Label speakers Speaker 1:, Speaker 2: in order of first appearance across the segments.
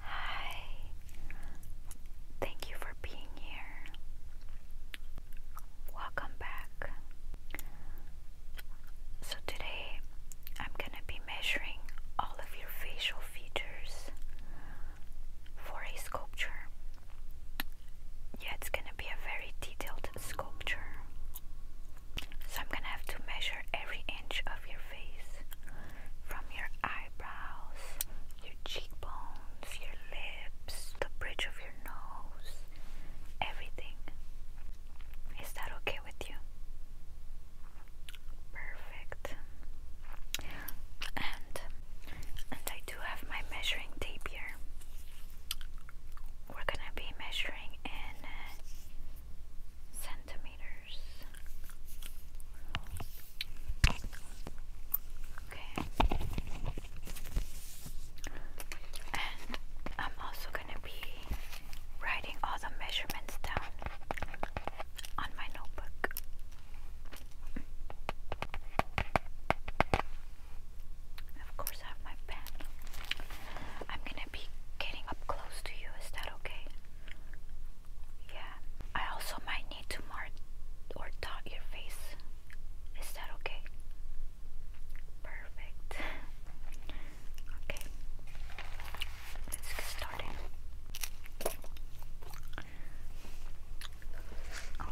Speaker 1: Hi. Thank you for being here. Welcome back. So, today I'm gonna be measuring all of your facial features for a sculpture. Yeah, it's gonna be a very detailed sculpture. So, I'm gonna have to measure every inch of your face from your eyes eyebrows, your cheekbones, your lips, the bridge of your nose, everything. Is that okay with you? Perfect. And and I do have my measuring tape here. We're gonna be measuring in centimeters. Okay. And I'm also going to be writing all the measurements down on my notebook. Of course, I have my pen. I'm going to be getting up close to you. Is that okay? Yeah, I also might need to mark or dot your face. Is that okay? Perfect. Okay, let's get started.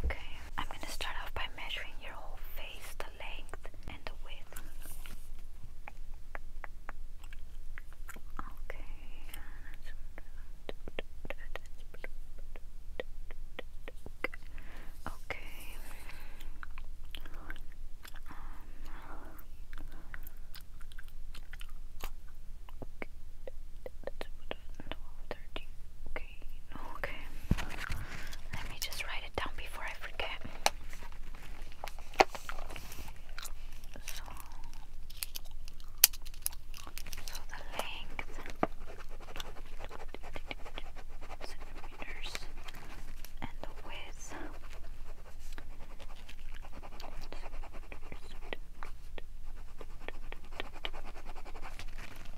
Speaker 1: Okay, I'm gonna start off by measuring your whole face, the length and the width. Okay. Okay. Um, Okay. Okay. Let me just write it down before I forget. So. So the length centimeters and the width.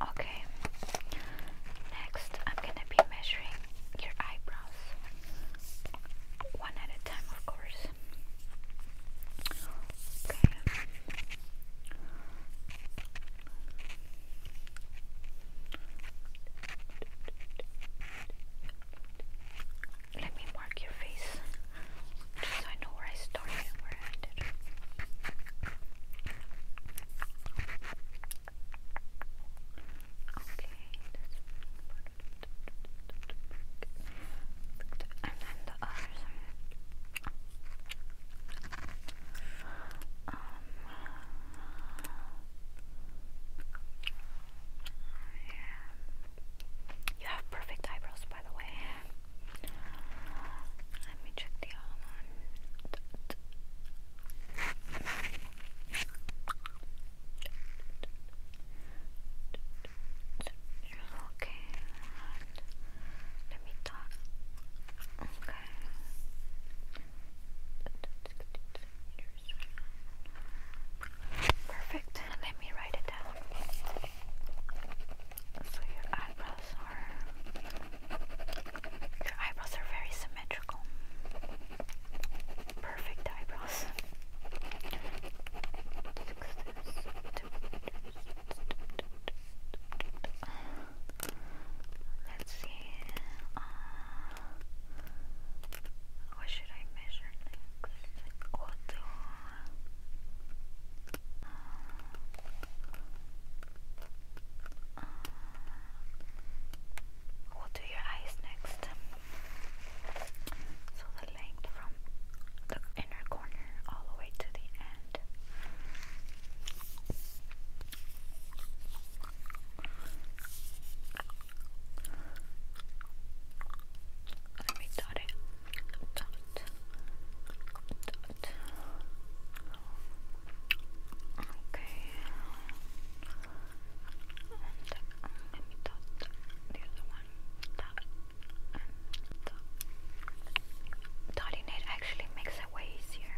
Speaker 1: Okay. Next, I'm gonna be measuring your eyebrows one at a time, of course. Okay. Let me mark your face just so I know where I started and where I ended. Okay, that's important and then the other side. Um, yeah. You have perfect eyebrows, by the way. Let me check the other Okay, Let me talk. Okay. Perfect. Let me write it down. So your eyebrows are your eyebrows are very symmetrical. Perfect eyebrows. Let's see. Uh, what should I measure next? What do uh, uh, do your eyes next? So the length from the inner corner all the way to the end. Let me dot it. Dot. Dot. Okay. And um, let me dot the other one. Dot dotting it actually makes it way easier.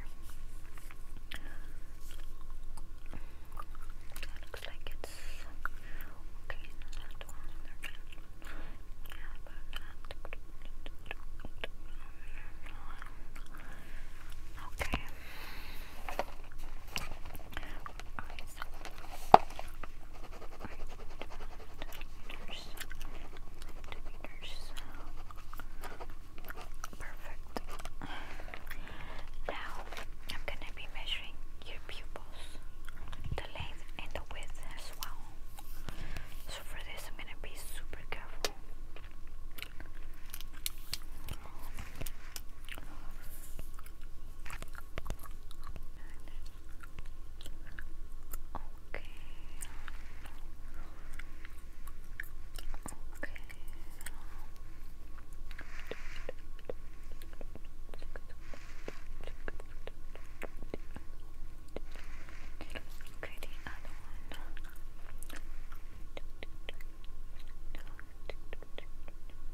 Speaker 1: looks like it's okay. yeah, but Okay eyes are Perfect. Now I'm gonna be measuring your pupils, the length and the width as well. So for this I'm gonna be super careful. Okay. Okay. Okay, the other one.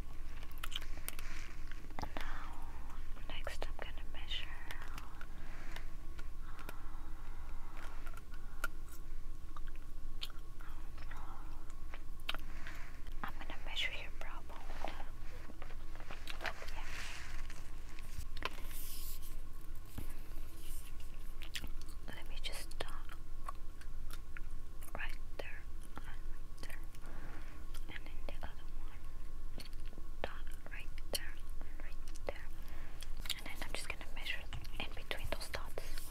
Speaker 1: Now, next I'm going to measure uh, I'm going to measure your problem. Let me just uh, right there and and then the other one dot right there right there, and then I'm just gonna measure in between those dots.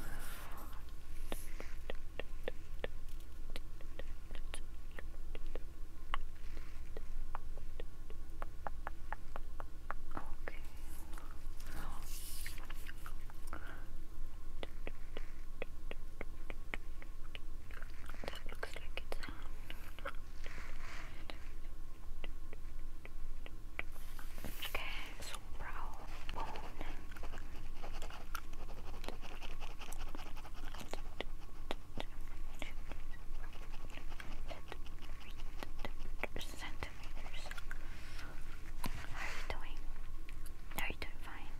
Speaker 1: Okay. This looks like it's on. Okay, so brow bone. Centimeters. How are you doing? Are you doing fine?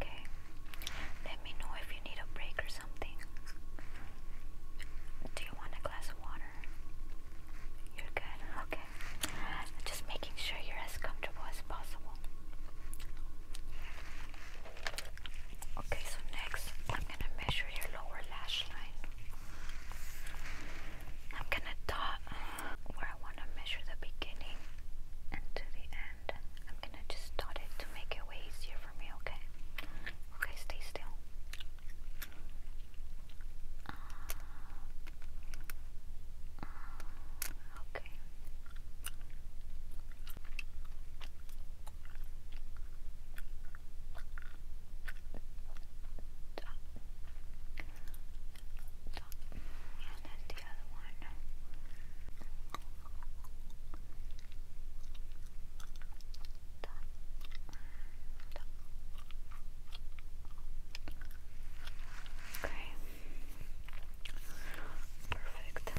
Speaker 1: Okay. Let me know if you need a break or something. Do you want a glass of water? You're good? Okay. Just making sure you're as comfortable as possible. Okay, so next I'm gonna measure your lower lash line. I'm gonna dot where I want to measure the beginning and to the end. I'm going to just start it to make it way easier for me, okay? Okay, stay still. okay thought, and then the other one. Okay. Perfect. I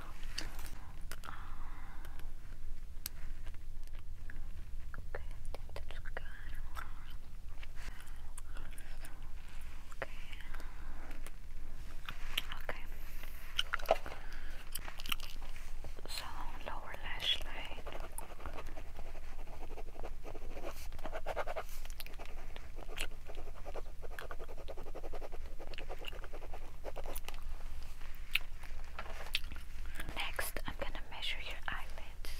Speaker 1: Okay, I Okay. Okay. So lower lash line. Next, I'm gonna measure your eyelids.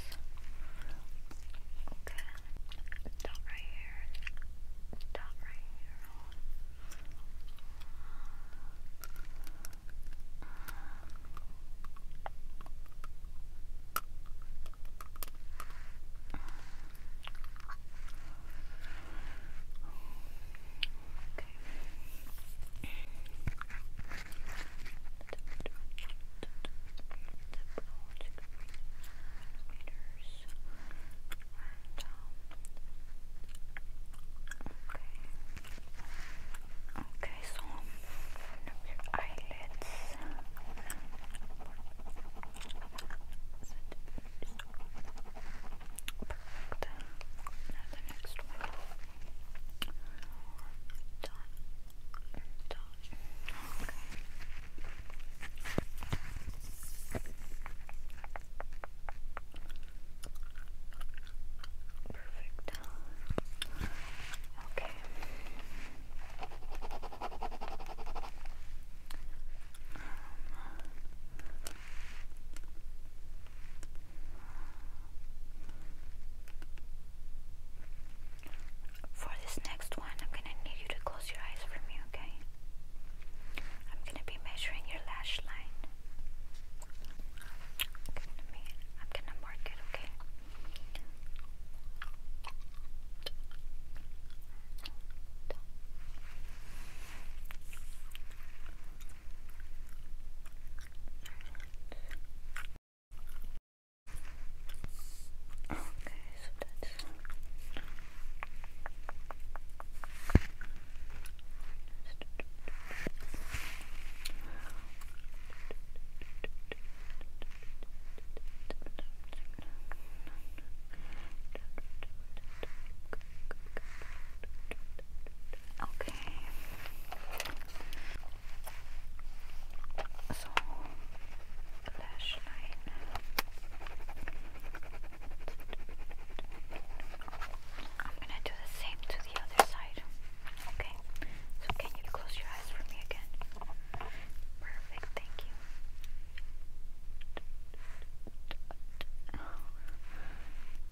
Speaker 1: Okay, dot right here, dot right here. Okay um, okay, so your eyelids. Perfect. Now the next one. Done. Done. Okay. Perfect. Okay. Um, for this next one, I'm gonna need you to close your eyes for me, okay? I'm gonna be measuring your lash line. I'm gonna mark it, okay? Okay, so that's Okay. Okay. So lash line. I'm gonna do the same to the other side. Okay. can you close your eyes for me again? Perfect, thank you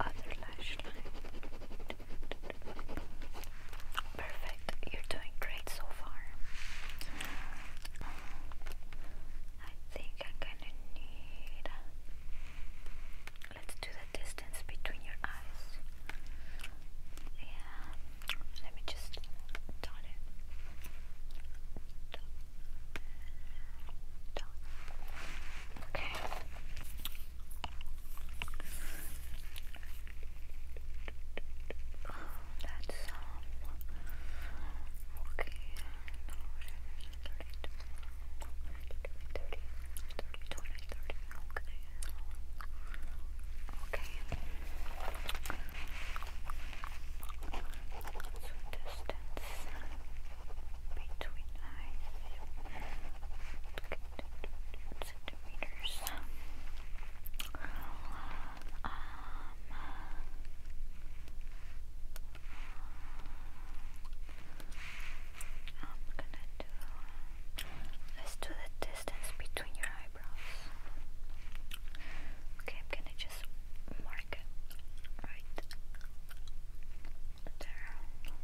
Speaker 1: other lash line. Perfect, you're doing great so far. I think I'm gonna need. Let's do the distance between your eyes. Yeah, let me just dot it. Okay. Oh, that's um okay. Thirty, thirty, twenty, thirty. Okay. Okay. distance between eyes centimeters. Um, um, um I'm going Let's do the distance between your eyebrows. Okay, I'm gonna just mark it right Right there. Right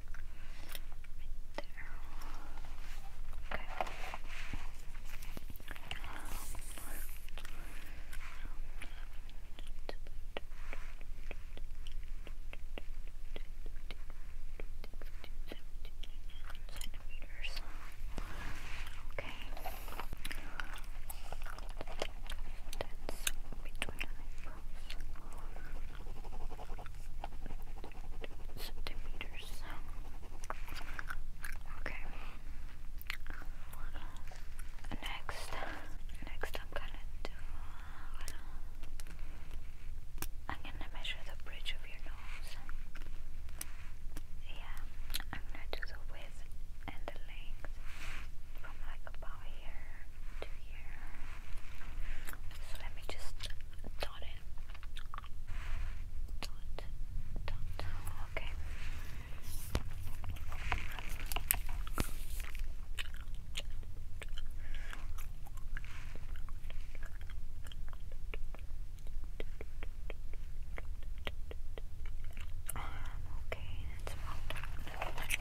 Speaker 1: there. Okay. Centimeters. Okay. That's between Centimeters. Okay. Next, next I'm gonna do. I'm gonna measure the bridge of your nose. Yeah, I'm gonna do the width and the length from like about here to here. So let me just dot it. Dot, dot. Okay. Um, okay, that's about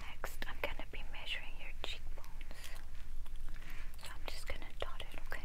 Speaker 1: Next, I'm going to be measuring your cheekbones. So I'm just gonna dot it, okay? Okay.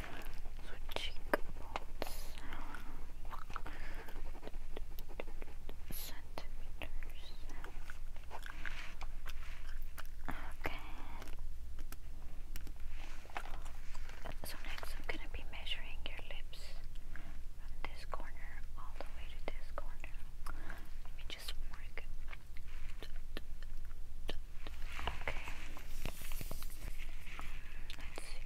Speaker 1: So centimeters. Okay. So next I'm gonna be measuring your lips from this corner all the way to this corner. Let me just mark Okay. Let's see.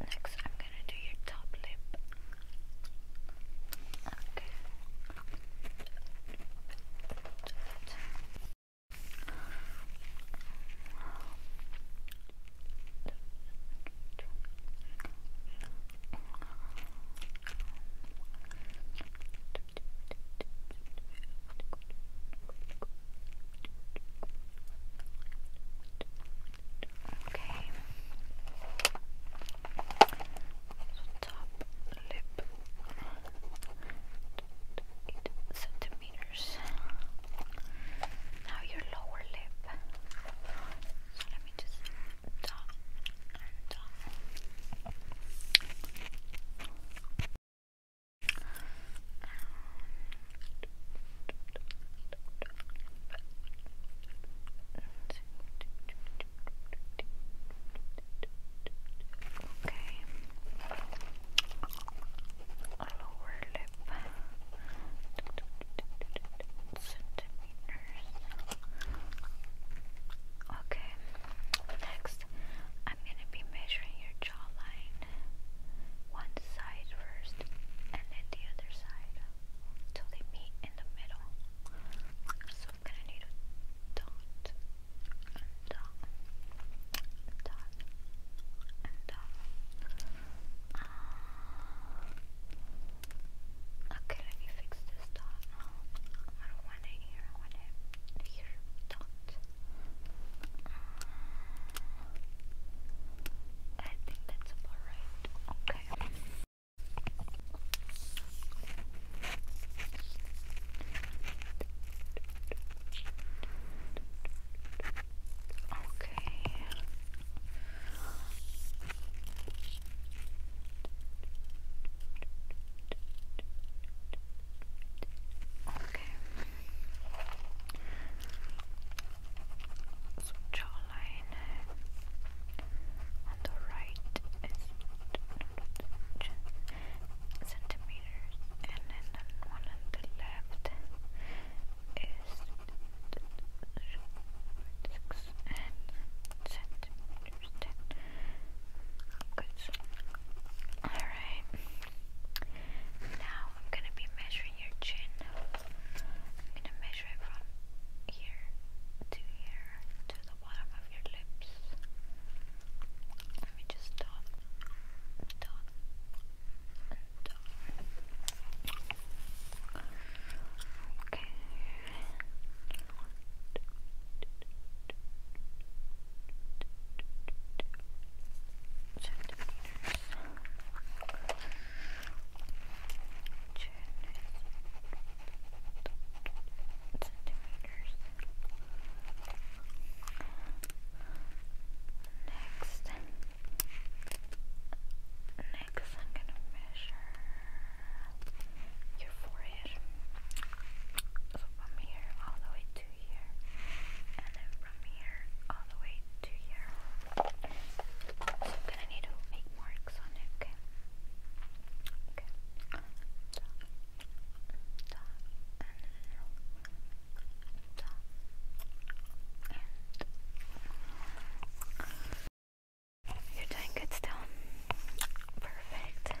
Speaker 1: Next, I'm gonna do your top lip. Okay. Okay. Top lip. centimeters. Now your lower lip. So let me just dot and dot. Okay. Lower lip Okay. Next, I'm gonna be measuring your jawline one side first and then the other side till they meet in the middle. So I'm gonna need a dot and dot and dot and dot. Ah. okay, let me fix this dot. I don't want it here, I want it here. Dot. Ah. I think that's about right. Okay. Okay. Okay so jawline on the right is centimeters and then on the left is centimeters good alright now I'm gonna be measuring your chin. I'm gonna measure it from here to here to the bottom of your lips. Let me just dot, dot, and dot. Okay. Centimeter. Next, next I'm gonna measure your forehead. from here all the way to here, and then from here all the way to here. So I'm gonna need to make marks on it, okay? Okay. Dot, dot, and dot, and you're doing good still. Perfect. Okay.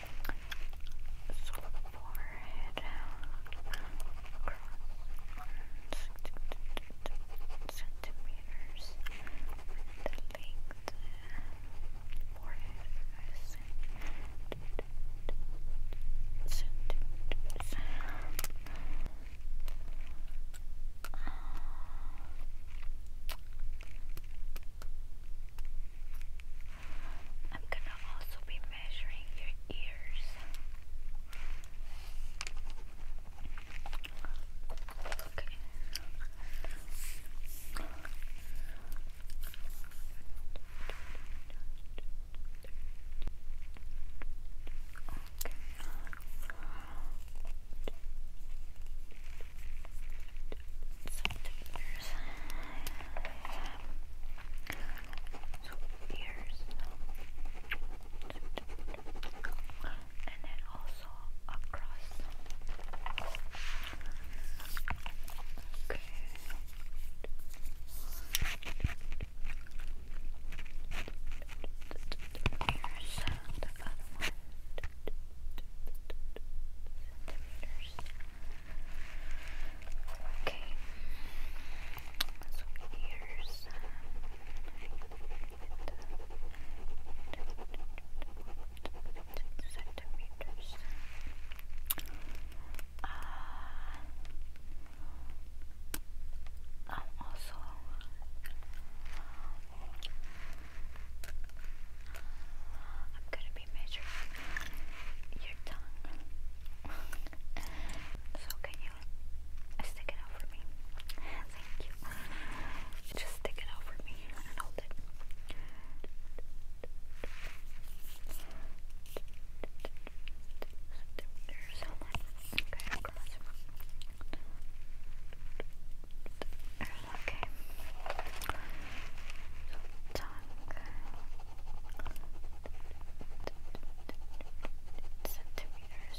Speaker 1: forehead centimeters the length forehead centimeters I'm gonna also be measuring your ears. Okay. Okay. So the ears. So ears. And then also across. Okay. Here's the other one. Okay. So here's centimeters. Uh, I'm also uh, I'm gonna be measuring your tongue. so can you stick it out for me? Thank you. Just stick it out for me and hold it. Okay, centimeters.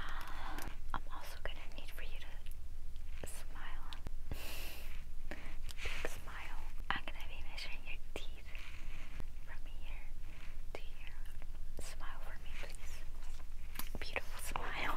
Speaker 1: Um, I'm also gonna need for you to smile. Big smile. I'm gonna be measuring your teeth from here to here. Smile for me, please. Beautiful smile.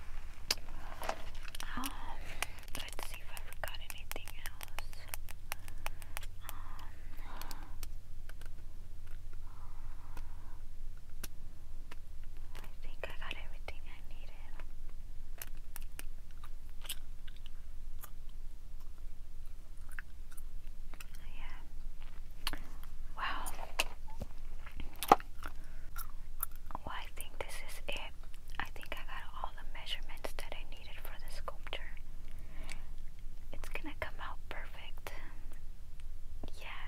Speaker 1: Um, let's see if I forgot anything else. Um, I think I got everything I needed. Yeah. Wow. I think this is it. I think I got all the measurements that I needed for the sculpture. It's gonna come out perfect. Yeah.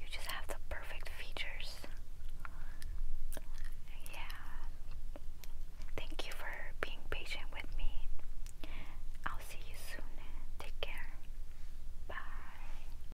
Speaker 1: You just have the perfect features. Yeah. Thank you for being patient with me. I'll see you soon. Take care. Bye.